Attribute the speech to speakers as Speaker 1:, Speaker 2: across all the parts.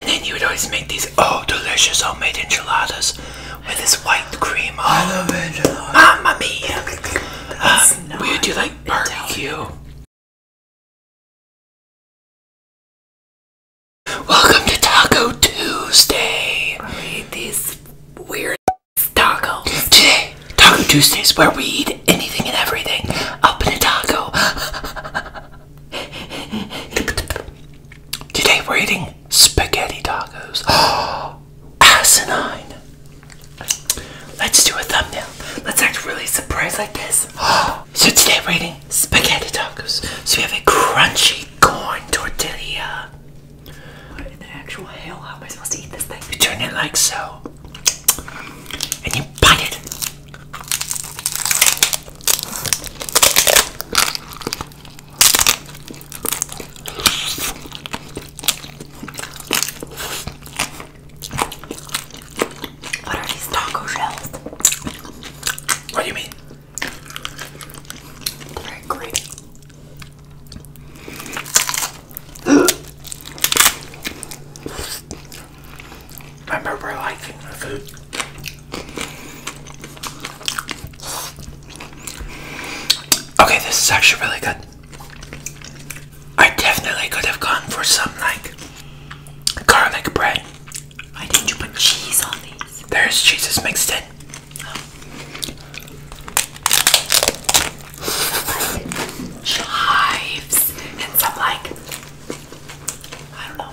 Speaker 1: And then you would always make these oh delicious homemade enchiladas with this white cream. Oh, I love mia! Um, we would do like barbecue. Welcome to Taco Tuesday. We eat these weird tacos. Today, Taco Tuesday is where we eat anything and everything up in a taco. Today we're eating spaghetti tacos. Oh, asinine. Let's do a thumbnail. Let's act really surprised like this. Oh. So today we're eating spaghetti tacos. So we have a crunchy corn tortilla. What in the actual hell? How am I supposed to eat this thing? You turn it like so. And you bite it. What are these taco shells? What do you mean? Very great. Remember, liking the food. Okay, this is actually really good. I definitely could have gone for some like garlic bread. Why didn't you put cheese on these? There's cheeses mixed in. Chives and some like I don't know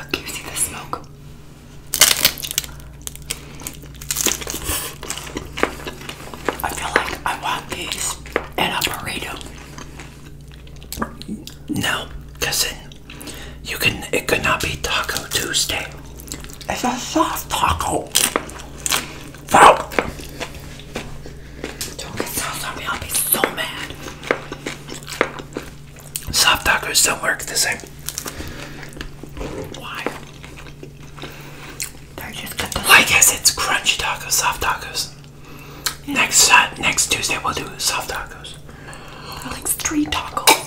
Speaker 1: Look, you see the smoke. I feel like I want these in a burrito. No, because you can, it could not be Taco Tuesday. It's a soft taco. Fuck! Don't get sauce on me, I'll be so mad. Soft tacos don't work the same. Why? They're just the Like I said, it's crunchy tacos, soft tacos. Yeah. Next uh, next Tuesday we'll do soft tacos. I like street tacos.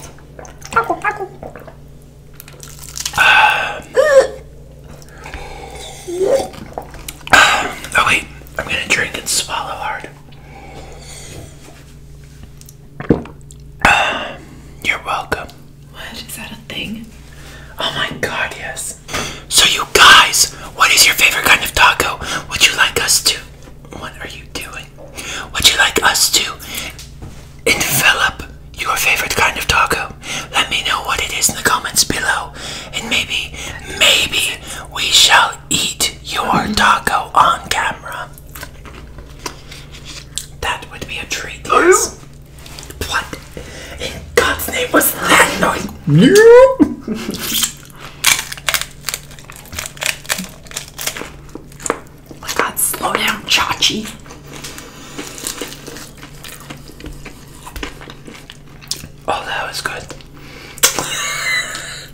Speaker 1: Taco, taco. Uh, Ah, oh, wait, I'm gonna drink and swallow hard. Ah, you're welcome. What? Is that a thing? Oh my god, yes. So, you guys, what is your favorite kind of taco? Would you like us to? What are you doing? Would you like us to envelop your favorite kind of taco? Let me know what it is in the comments below. And maybe, maybe we shall eat your taco on camera. That would be a treat. What in God's name was that noise? oh my slow down, Chachi. Oh, that was good.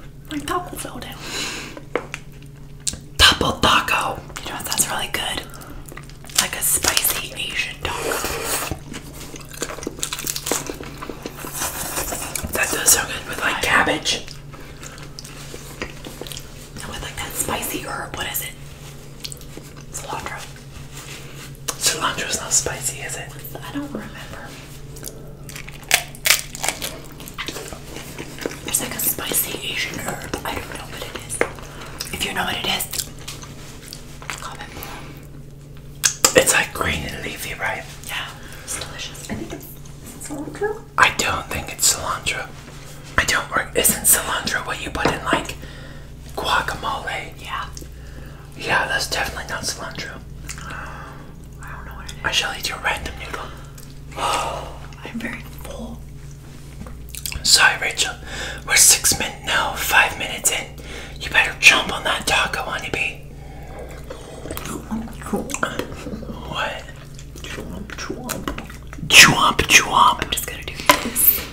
Speaker 1: My taco fell down. Double taco. You know what? That's really good. Like a spicy Asian taco. That does sound good with like cabbage. And with like that spicy herb, what is it? Cilantro. Cilantro is not spicy, is it? I don't remember. It's like a spicy Asian herb. I don't know what it is. If you know what it is, comment It's like green and leafy, right? Yeah, it's delicious. I think it's cilantro. I don't think it's cilantro. I don't Isn't cilantro what you put in like guacamole? Yeah. Yeah, that's definitely not cilantro. I shall eat your random noodle. Oh, I'm very full. Sorry, Rachel. We're six minutes now, five minutes in. You better jump on that taco, honeybee. What? Chomp, chomp. Chomp, chomp. I'm just gonna do this.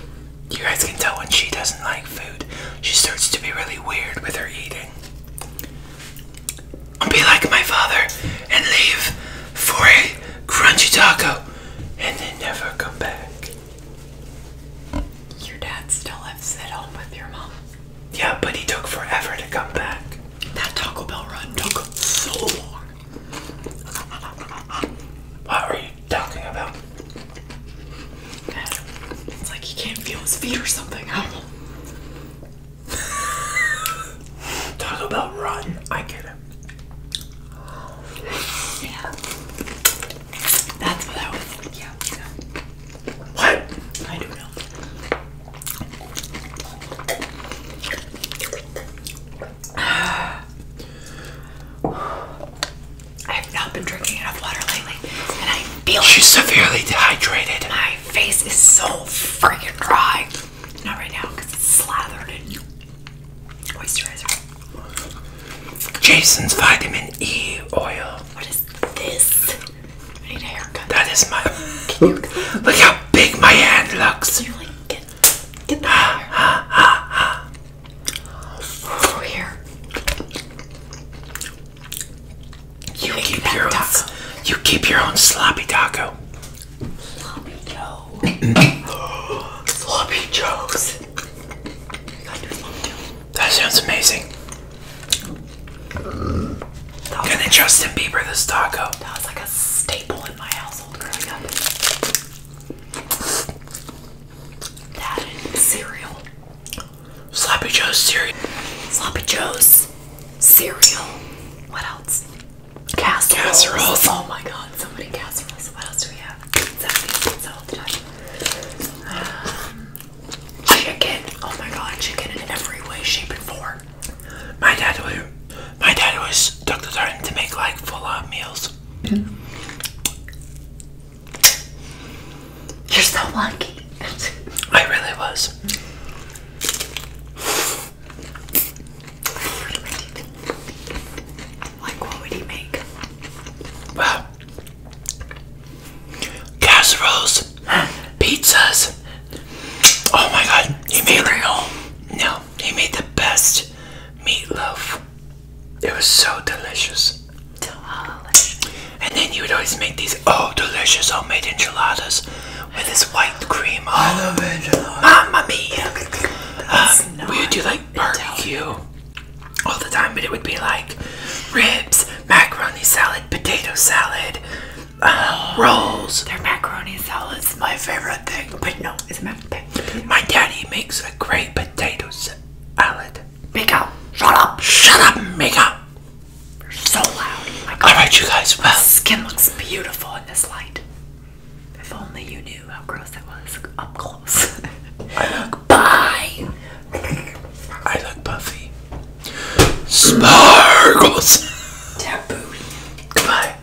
Speaker 1: You guys can tell when she doesn't like food. She starts to be really weird with her eating. I'll be like my father and leave for a crunchy taco and then never come back. Your dad still lives at home with your mom. Yeah, but he took forever to come back. That Taco Bell run took so long. What are you talking about. It's like he can't feel his feet or something. I don't know. Talk about rotten. I get it. Yeah. That's what I was. Yeah. yeah. What? I don't know. I have not been drinking enough water lately, and I feel she's severely dehydrated. My face is so freaking dry. Not right now because it's slathered in moisturizer. Jason's vitamin E oil. What is this? I need a haircut. That is my. Can look how big my hand looks? you like get that hair? Here. You, keep your own, you keep your own sloppy taco. Sloppy Joe. sloppy Joes. That sounds amazing. Mm. That Justin Bieber this taco. That was like a staple in my household growing up. That cereal. Sloppy Joe's cereal. Sloppy Joe's cereal. What else? Casseroles. Casseroles. Oh my god, so many casseroles. What else do we have? Um, chicken. Oh my god, chicken in every way, shape, and form. My dad always, my dad always took the to make like full-on meals. Mm-hmm. You're so lucky. I really was. Like, what would he make? casseroles, pizzas. Oh my god, he made the, no, he made the best meatloaf. It was so delicious. And then you would always make these oh delicious homemade enchiladas with this white cream. Oh, I love enchiladas. Mamma mia! Um, we would do like barbecue Italian. all the time, but it would be like ribs, macaroni salad, potato salad, uh, oh, rolls. Their macaroni is my favorite thing. But no, it's macaroni? My daddy makes a great potato salad. Mika, shut up. Shut up, Mika. You're so loud. Oh All right, you guys. Well, My skin looks beautiful in this light. If only you knew how gross that was up close. I look. Bye. I look puffy. Sparkles. Taboo. Goodbye.